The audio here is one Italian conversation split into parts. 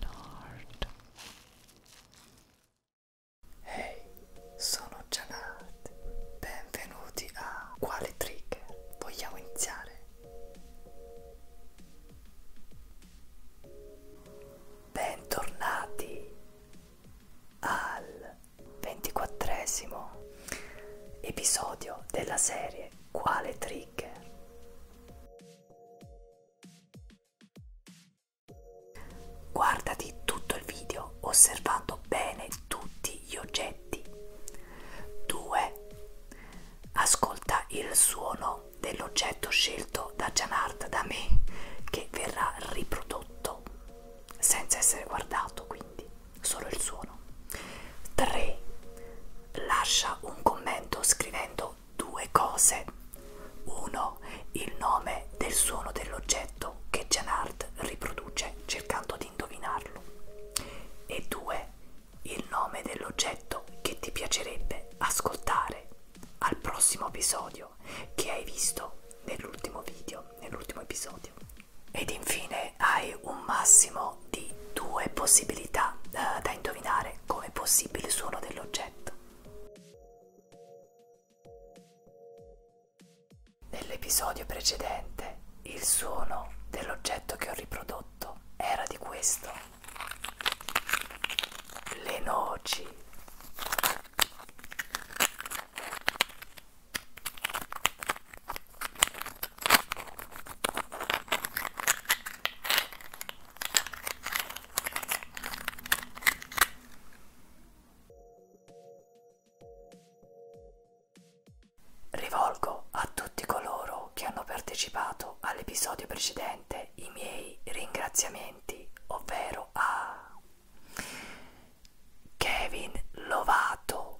Donald. Hey, sono Janat. Benvenuti a Quale Trigger? Vogliamo iniziare? Bentornati al ventiquattresimo episodio della serie Quale Trigger? Guardati tutto il video osservando bene tutti gli oggetti. 2. Ascolta il suono dell'oggetto scelto da Janard da me che verrà riprodotto senza essere guardato quindi solo il suono. 3. Lascia un commento scrivendo due cose. 1. Il nome del suono dell'oggetto che Janard riproduce cercando di indovinarlo. E 2. Il nome dell'oggetto che ti piacerebbe ascoltare al prossimo episodio che hai visto nell'ultimo video, nell'ultimo episodio ed infine hai un massimo di due possibilità eh, da indovinare come possibile suono dell'oggetto. Nell'episodio precedente il suono dell'oggetto che ho riprodotto era di questo. Le noci. Rivolgo a tutti coloro che hanno partecipato all'episodio precedente i miei ringraziamenti, ovvero a Kevin Lovato,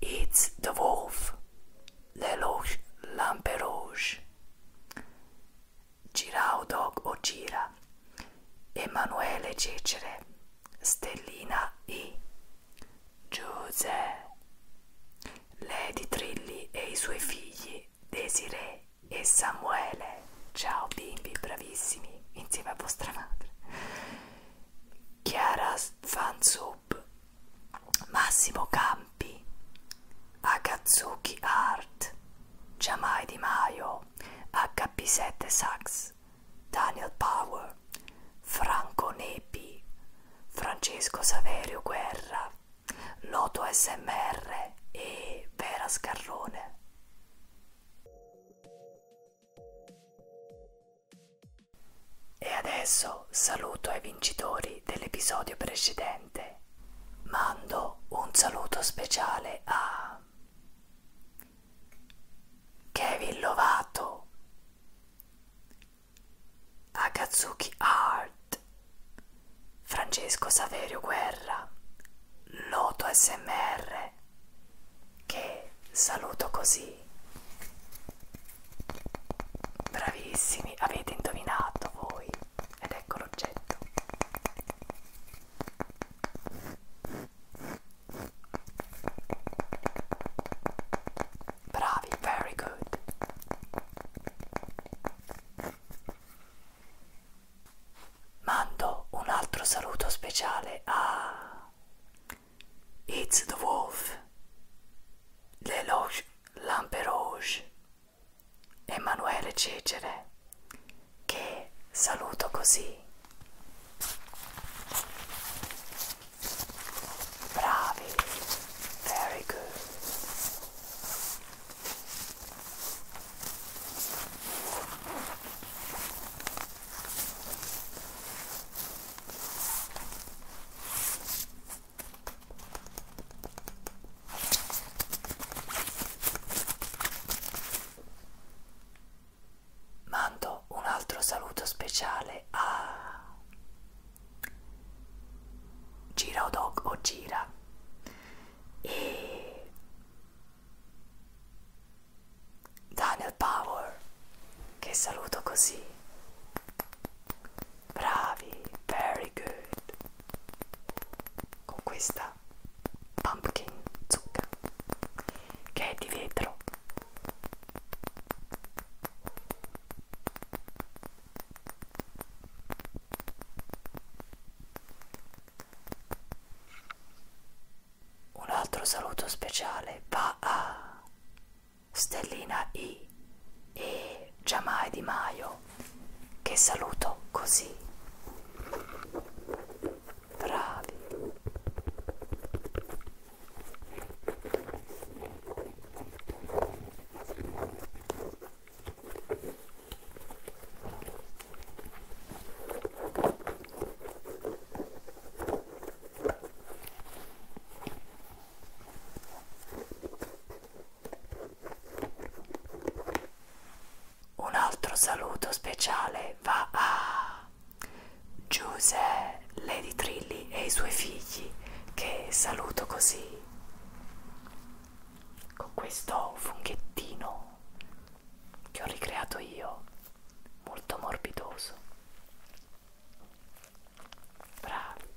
It's the Wolf, Lelouch Lamperouge, Girao Dog o Gira, Emanuele Cecere, Stellina I, Giuse, Lady Trilli e i suoi figli Desiree e Samuele. Ciao bimbi, bravissimi, insieme a vostra madre. Chiara Fansub, Massimo Campi, Akatsuki Art, Giamai Di Maio, HP7 Sax, Daniel Power, Franco Nepi, Francesco Saverio Guerra, Loto SMR e Vera Scarrone. E adesso saluto ai vincitori dell'episodio precedente. Mando un saluto speciale a Kevin Lovato, Akatsuki Art, Francesco Saverio Guerra, Loto SMR, che saluto così. Bravissimi, avete indovinato voi ed ecco l'oggetto. Bravi, very good. Mando un altro saluto speciale a It's the Wolf, Leloge Lamperouge, Emanuele Cecere, che saluto così. Bravi, very good. Mando un altro saluto speciale a Gira o Dog o Gira e Daniel Power che saluto così bravi very good con questa pumpkin zucca che è di vetro un altro saluto speciale va a Stellina I e Giamai Di Maio che saluto così. Bravi. Un altro saluto speciale va a Giuse, Lady Trilli e i suoi figli che saluto così con questo funghettino che ho ricreato io molto morbidoso bravi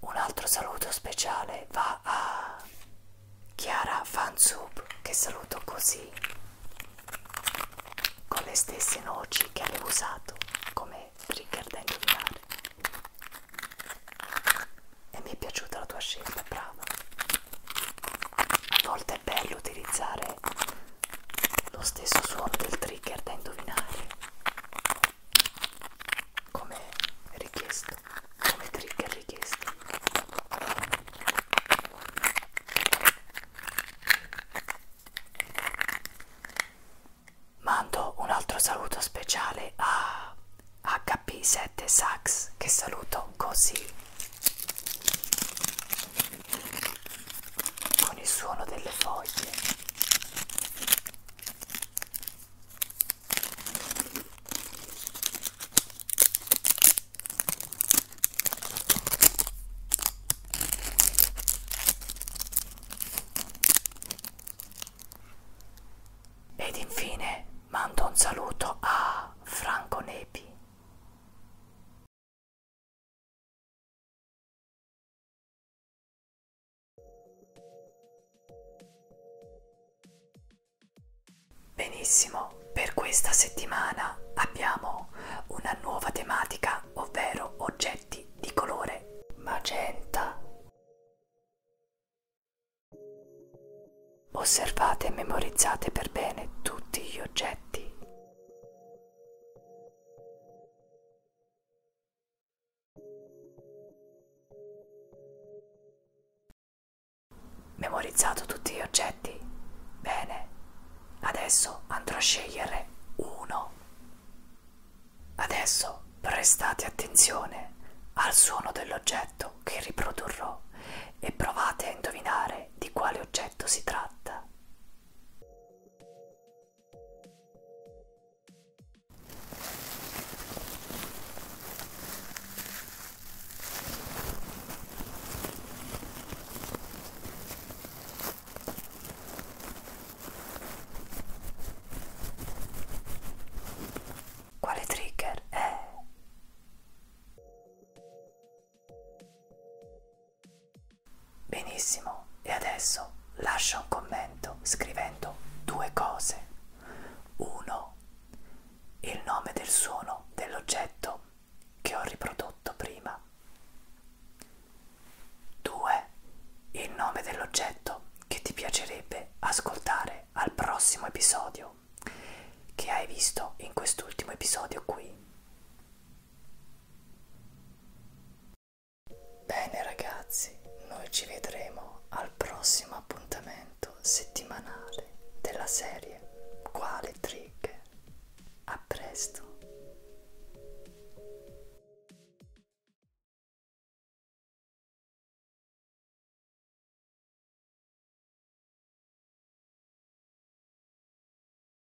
un altro saluto speciale va a Chiara Fansub che saluto così con le stesse noci che avevo usato come trigger da indovinare. E mi è piaciuta la tua scelta, brava. A volte è bello utilizzare lo stesso suono del trigger da indovinare come richiesto come trigger richiesto mando un altro saluto speciale a HP7 Sax che saluto così con il suono delle foglie ed infine mando un saluto a Franco Nepi. Benissimo, per questa settimana abbiamo una nuova tematica, ovvero oggetti di colore magenta. Osservate e memorizzate per bene tutti gli oggetti. Memorizzato tutti gli oggetti? Bene, adesso andrò a scegliere uno. Adesso prestate attenzione al suono dell'oggetto che riprodurrò e provate a indovinare di quale oggetto si tratta. Quale trigger è? Benissimo, e adesso lascia un commento scrivendo due cose. 1. Il nome del suono dell'oggetto che ho riprodotto prima. 2. Il nome dell'oggetto che ti piacerebbe ascoltare al prossimo episodio che hai visto in quest'ultimo episodio qui. Bene ragazzi, noi ci vedremo al prossimo appuntamento settimanale della serie Quale Trigger? A presto!